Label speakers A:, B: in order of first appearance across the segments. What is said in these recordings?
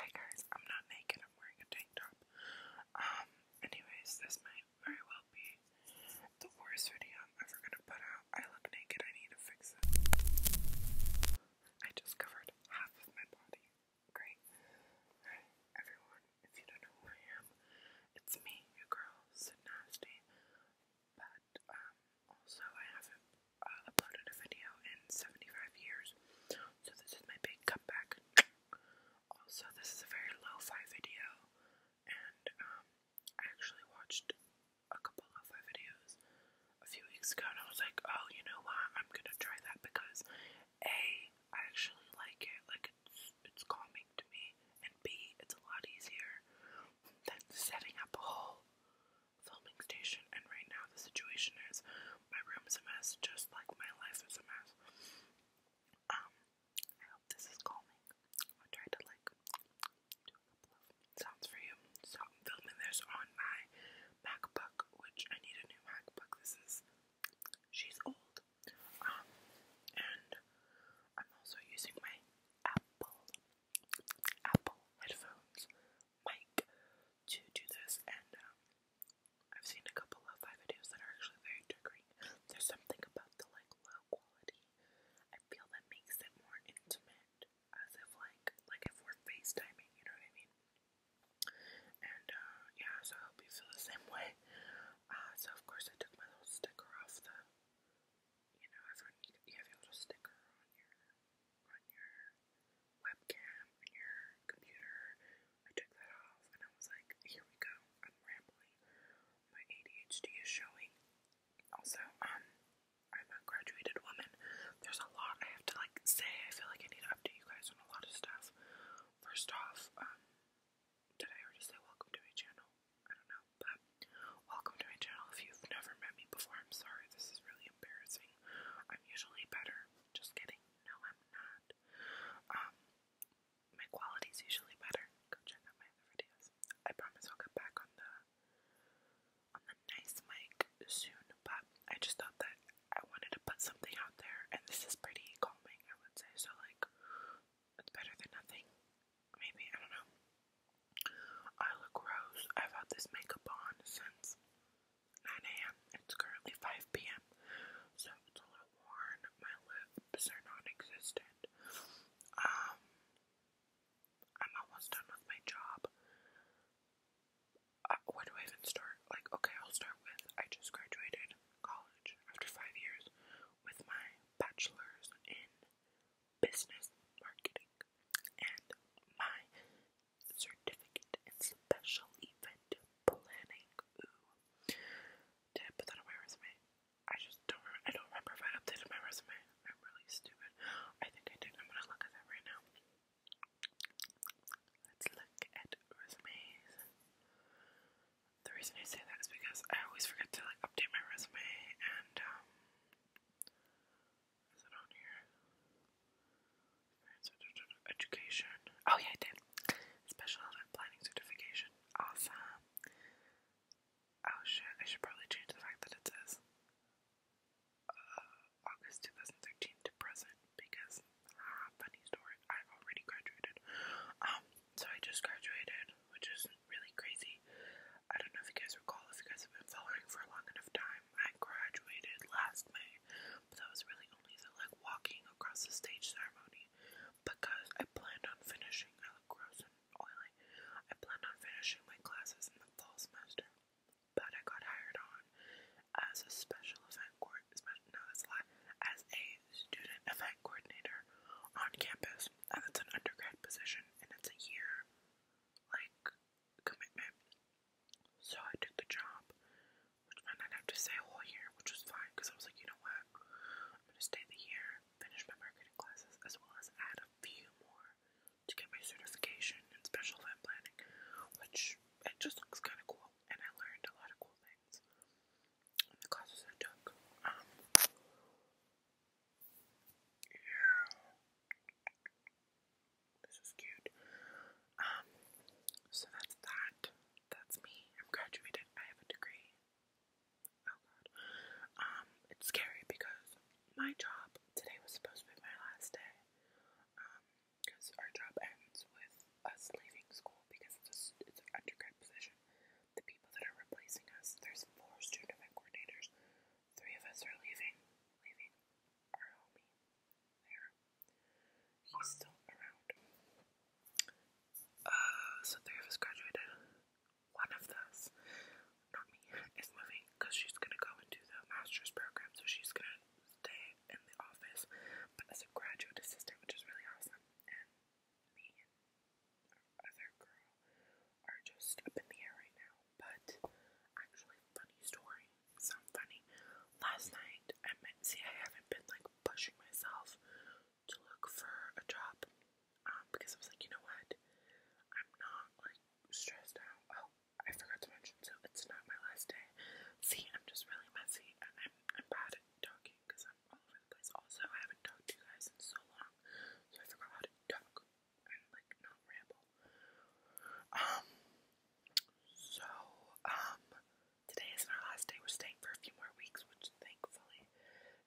A: Hey guys, I'm not naked, I'm wearing a tank top. Um, anyways, this might very well be the worst video I'm ever gonna put out. I look naked, I need to fix it. I just covered half of my body. Great. Hi, everyone, if you don't know who I am, it's me, your girl, Sid Nasty. But, um, also I have it uploaded a video in 75 years, so this is my big comeback. Also, this is a very lo-fi video, and um, I actually watched a couple lo-fi videos a few weeks ago, and I was like, oh, you know what, I'm gonna try that because A, I actually like it, like it's, it's calming to me, and B, it's a lot easier than setting up a whole filming station, and right now the situation is my room is a mess, just like my life is a mess. Um, I hope this is calming. I'll try to like do a couple of sounds for you. So I'm filming this on my MacBook, which I need a new MacBook. This is she's old. Um, and I'm also using my Apple Apple headphones mic to do this, and um, I've seen a couple of my videos that are actually very triggering. There's something about the like low quality. I feel that makes it more intimate, as if like like if we're FaceTiming, you know what I mean. And uh, yeah, so I hope you feel the same way. Uh, so of course I took my little sticker off the. You know, everyone you have your little sticker on your on your webcam and your computer. I took that off and I was like, here we go. I'm rambling. My ADHD is showing. Also, um, I'm a graduated woman. There's a lot I have to like say. I feel like I need to update you guys on a lot of stuff. First off, um, did I already say welcome to my channel? I don't know, but welcome to my channel. If you've never met me before, I'm sorry. This is really embarrassing. I'm usually better just kidding. No, I'm not. Um, my quality's usually better. Go check out my other videos. I promise I'll get back on the on the nice mic soon, but I just thought that I wanted to put something out there, and this is pretty calming, I would say. So like, it's better than nothing. Maybe I don't know. I look rose. I've had this makeup on since 9 a.m. It's currently 5 p.m. So it's a little worn. My lips are non-existent. Um, I'm almost done with my job. Uh, where do I even start? Like, okay, I'll start with I just graduated college after five years with my bachelor's in business marketing and my certificate in special event planning. Ooh. Did I put that on my resume? I just don't I don't remember if I updated my resume. I'm really stupid. I think I did. I'm gonna look at that right now. Let's look at resumes. The reason I say that is because I always forget to like update my resume and um, is it on here? Education. Oh yeah, I did. Special event planning certification. Awesome. Oh shit, I should probably change the fact that it says uh, August 2013 to present because, ah, funny story, I've already graduated. Um, so I just graduated, which is really crazy. I don't know if you guys recall, if you guys have been following for a long enough time, I graduated last May, but that was really only the like walking across the stage ceremony because I planned on finishing. I look gross and oily. I planned on finishing my classes in the fall semester, but I got hired on as a special event coordinator. No, that's a As a student event coordinator on campus, and it's an undergrad position, and it's a year, like commitment. So I took the job, which meant I'd have to stay a whole year, which was fine because I was like, you know what, I'm gonna stay the year, finish my marketing classes, as well as add a few more to get my certification in special event planning, which it just looks kind of cool, and I learned a lot of cool things in the classes I took. Um, yeah. This is cute. Um, so that's that. That's me. I'm graduated. I have a degree. Oh god. Um, it's scary because my job today was supposed to be my last day. Um, because our job ends with us leaving school because it's a, it's an undergrad position. The people that are replacing us, there's four student event coordinators. Three of us are leaving, leaving there. He's still around. Uh, so three of us graduated. One of us, not me, is moving because she's gonna go into the master's program, so she's gonna stay in the office, but as a graduate assistant, which is really awesome. And me and our other girl are just up in the air right now. But actually, funny story. Sound funny. Last night, I meant see, I haven't been like pushing myself to look for a job um, because I was like, you know what? I'm not like stressed out. Oh, I forgot to mention. So it's not my last day. See, I'm just really messy, and I'm I'm bad at talking because I'm all over the place. Also, I haven't talked to you guys in so long, so I forgot how to talk and like not ramble. Um, so, um, today isn't our last day. We're staying for a few more weeks, which thankfully,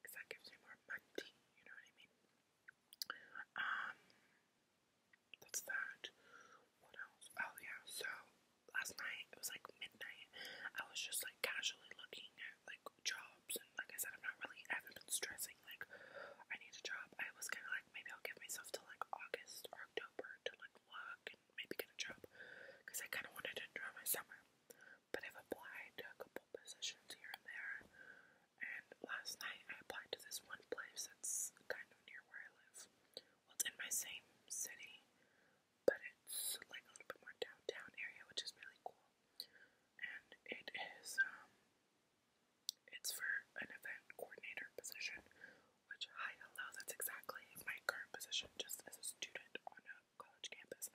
A: because that gives me more money, you know what I mean? Um, that's that. What else? Oh, yeah, so last night, it was like midnight. I was just like casually looking at like jobs, and like I said, I'm not really, I been stressing, like, I need a job. I was kind of like like maybe I'll give myself to like August or October to like work and maybe get a job because I kind of wanted to enjoy my summer. But I've applied to a couple positions here and there, and last night I applied to this one place that's kind of near where I live. Well, it's in my same city, but it's like a little bit more downtown area, which is really cool. And it is um, it's for an event coordinator position, which, hi, hello, that's exactly my current position just as a student on a college campus.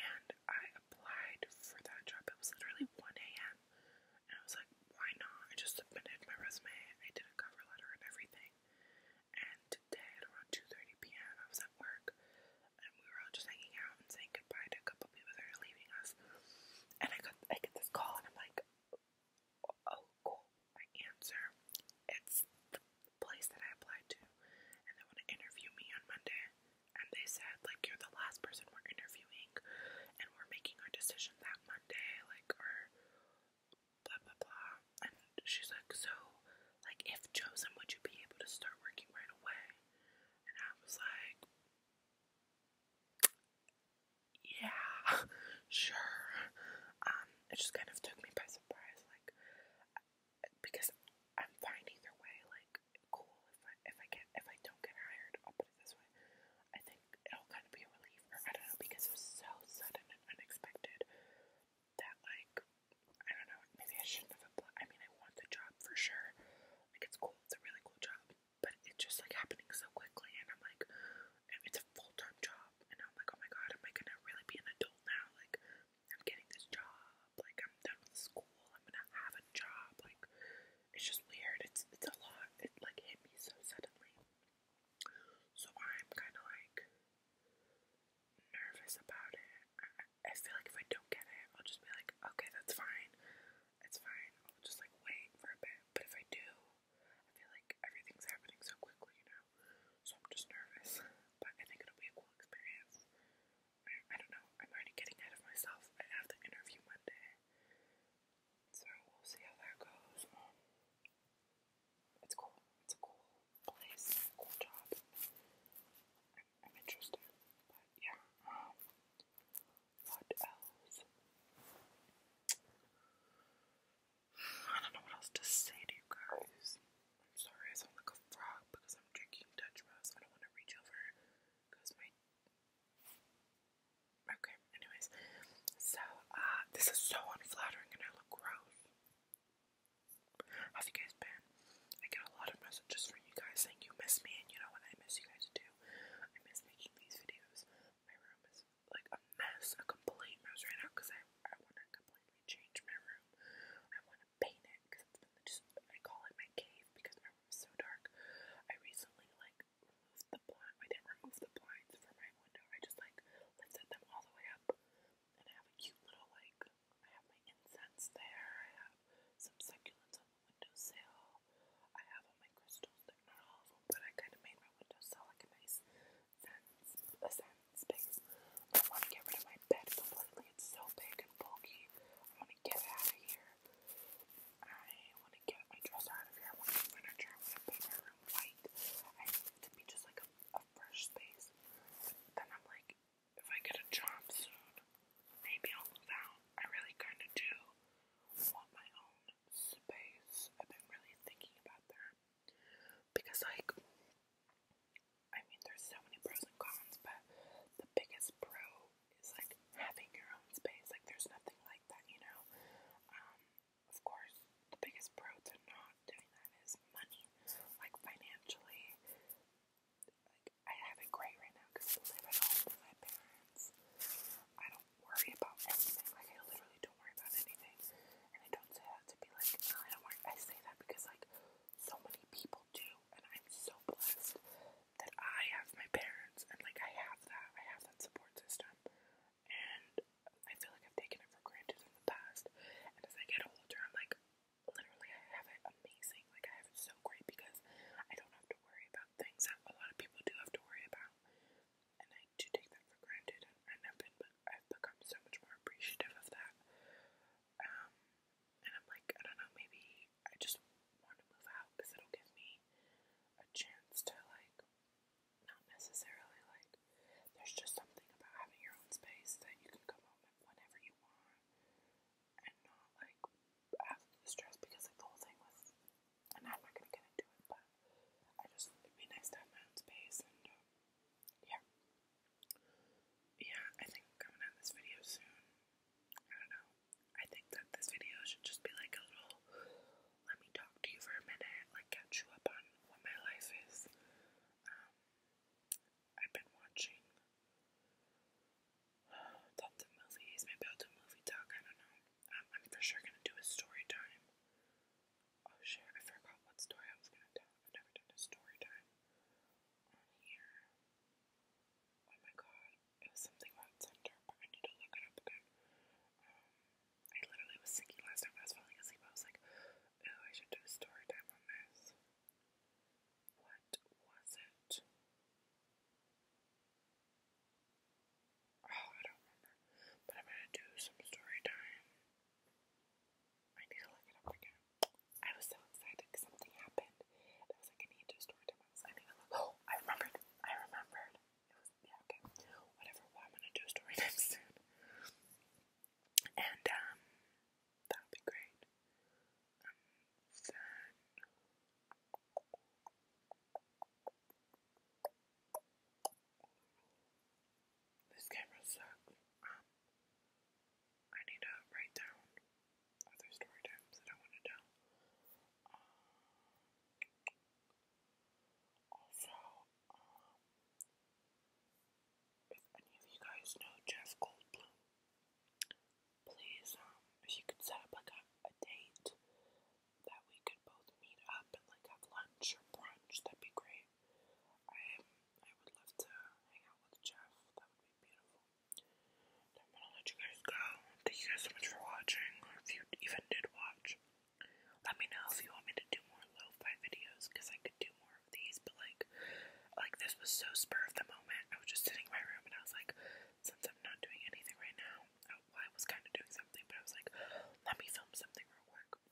A: And I applied for that job. It was literally 1 a.m. And I was like, why not? I just submitted my resume. I did a cover letter and everything. And today at around 2.30 p.m. I was at work. And we were all just hanging out and saying goodbye to a couple people that are leaving us. And I got I get this call and I'm like, oh cool, I answer, it's the place that I applied to, and they want to interview me on Monday, and they said, like, you're the last person we're interviewing, and we're making our decision that Monday, like, or blah, blah, blah, and she's like, so, like, if chosen, would you be able to start working right away? And I was like, yeah, sure. Um, it just kind of took me by surprise, like, because I'm fine either way. Like, cool if I if I get if I don't get hired, I'll put it this way. I think it'll kind of be a relief, or I don't know, because it was so sudden and unexpected that like I don't know. Maybe I shouldn't have applied. I mean, I want the job for sure. Like, it's cool. It's a really cool job but it just like happening so quickly, and I'm like, it's a full time job, and I'm like, oh my god, am I gonna really be an adult now? Like, I'm getting this job, like I'm done with school, I'm gonna have a job, like it's just weird. It's it's a lot. It's like hit me so suddenly, so I'm kind of like nervous about it. I, I feel like if I don't get it, I'll just be like, okay, that's fine, it's fine. I'll just like wait for a bit, but if I do, I feel like everything's happening so quickly, you know? So I'm just nervous. But I think it'll be a cool experience. I, don't know. I'm already getting ahead of myself. I have the interview Monday. So we'll see how that goes. Um, it's cool. It's a cool place. A cool job. I'm, interested. But yeah. Um, what else? I don't know what else to say to you guys. I'm sorry I sound like a frog because I'm drinking Dutch Bros. I don't want to reach over because my. Okay, anyways. So, uh, this is so unflattering and I look gross. How's you guys been? I get a lot of messages from you guys saying you miss me, and you know what? I miss you guys too. I miss making these videos. My room is like a mess, a complete mess right now because I, I want to completely change my room. I want to paint it because it's been just, I call it my cave because my room is so dark. I recently like removed the blind, I didn't remove the blinds from my window, I just like lifted them all the way up and I have a cute little like, I have my incense there, I have some succulents on the windowsill, I have all my crystals. not all of them, but I kind of made my windowsill like a nice sense, space. I want to get rid of my bed completely. It's so big and bulky. I want to get out of here. I want to get my dresser out of here. I want to paint my room white. I want it to be just like a, fresh space. then I'm like, if I get a job soon, maybe I'll move out. I really kind of do want my own space. I've been really thinking about that because, like, I mean, there's so many pros and cons, but the biggest pro is like having your own space. Like, there's nothing like that, you know. Um, of course, the biggest pro to not doing that is money, like financially. Like, I have it great right now because I live at home with my parents. I don't don't worry about anything. Like, I literally don't worry about anything. And I don't say that to be like, no, I don't worry. I say that because, like, so many people do. And I'm so blessed that I have my parents. And, like, I have that. I have that support system. And I feel like I've taken it for granted in the past. And as I get older, I'm like, literally, I have it amazing. Like, I have it so great because I don't have to worry about things that a lot of people do have to worry about and I do take that for granted, and, and I've been, but I've become so much more appreciative of that. Um, and I'm like, I don't know, maybe I just want to move out because it'll give me a chance to like, not necessarily like. There's just something about having your own space that you can come home whenever you want, and not like have the stress because like the whole thing with and I'm not gonna get it, but I just it'd be nice to my own space and uh, yeah. Yeah, I think I'm gonna this video soon. I don't know. I think that this video should just be like a little let me talk to you for a minute, like catch you up on what my life is. Um I've been watching tons of movies, maybe I'll movie talk, I don't know. I'm for sure gonna do a story time. Oh shit, I forgot what story I was gonna tell. I've never done a story time here. Oh my god, it was something about Tinder, I need to look it up again. Um, I literally was thinking last time I was falling asleep, I was like, oh, I should do a story time on this. What was it? Oh, I don't remember. But I'm gonna do some story time. I need to look it up again. I was so excited because something happened. I was like, I need to story time. I was like, to look. Oh, I remembered. I remembered. It was, yeah, okay. Whatever. Well, I'm gonna do story time soon. And, um, that'll be great. Um, this camera sucks. Um, I need to write down other story times that I want to tell. Um, also, um, if any of you guys know Jeff Goldblum, please, um, if you could set up like a date that we could both meet up and like have lunch or brunch, that'd be great. I um, I would love to hang out with Jeff. That would be beautiful. I'm gonna let you guys go. Thank you guys so much for watching, or if you even did watch. Let me know if you want me to do more low fi videos, because I could do more of these, but like, like this was so spur of the moment. I was just sitting in my room and I was like, since I'm not doing anything right now, I was kind of doing something, but I was like, let me film something real quick.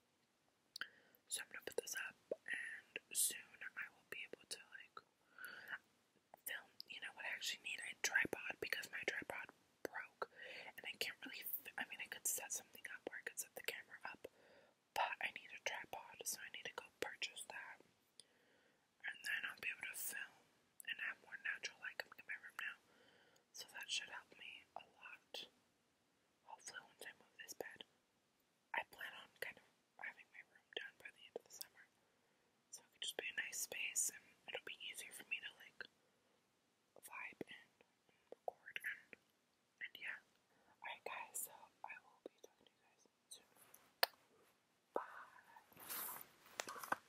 A: So I'm gonna put this up, and soon I will be able to like film. You know what I actually need? A tripod because my tripod broke, and I can't really. I mean, I could set something up, or I could set the camera up, but I need a tripod, so I need to go purchase that, and then I'll be able to film and have more natural light in my room now, so that should help me a lot. Hopefully, once I move this bed, I plan on kind of having my room done by the end of the summer, so it could just be a nice space, and it'll be easier for me to like vibe and, record and yeah. Alright, guys, so I will be talking to you guys soon. Bye.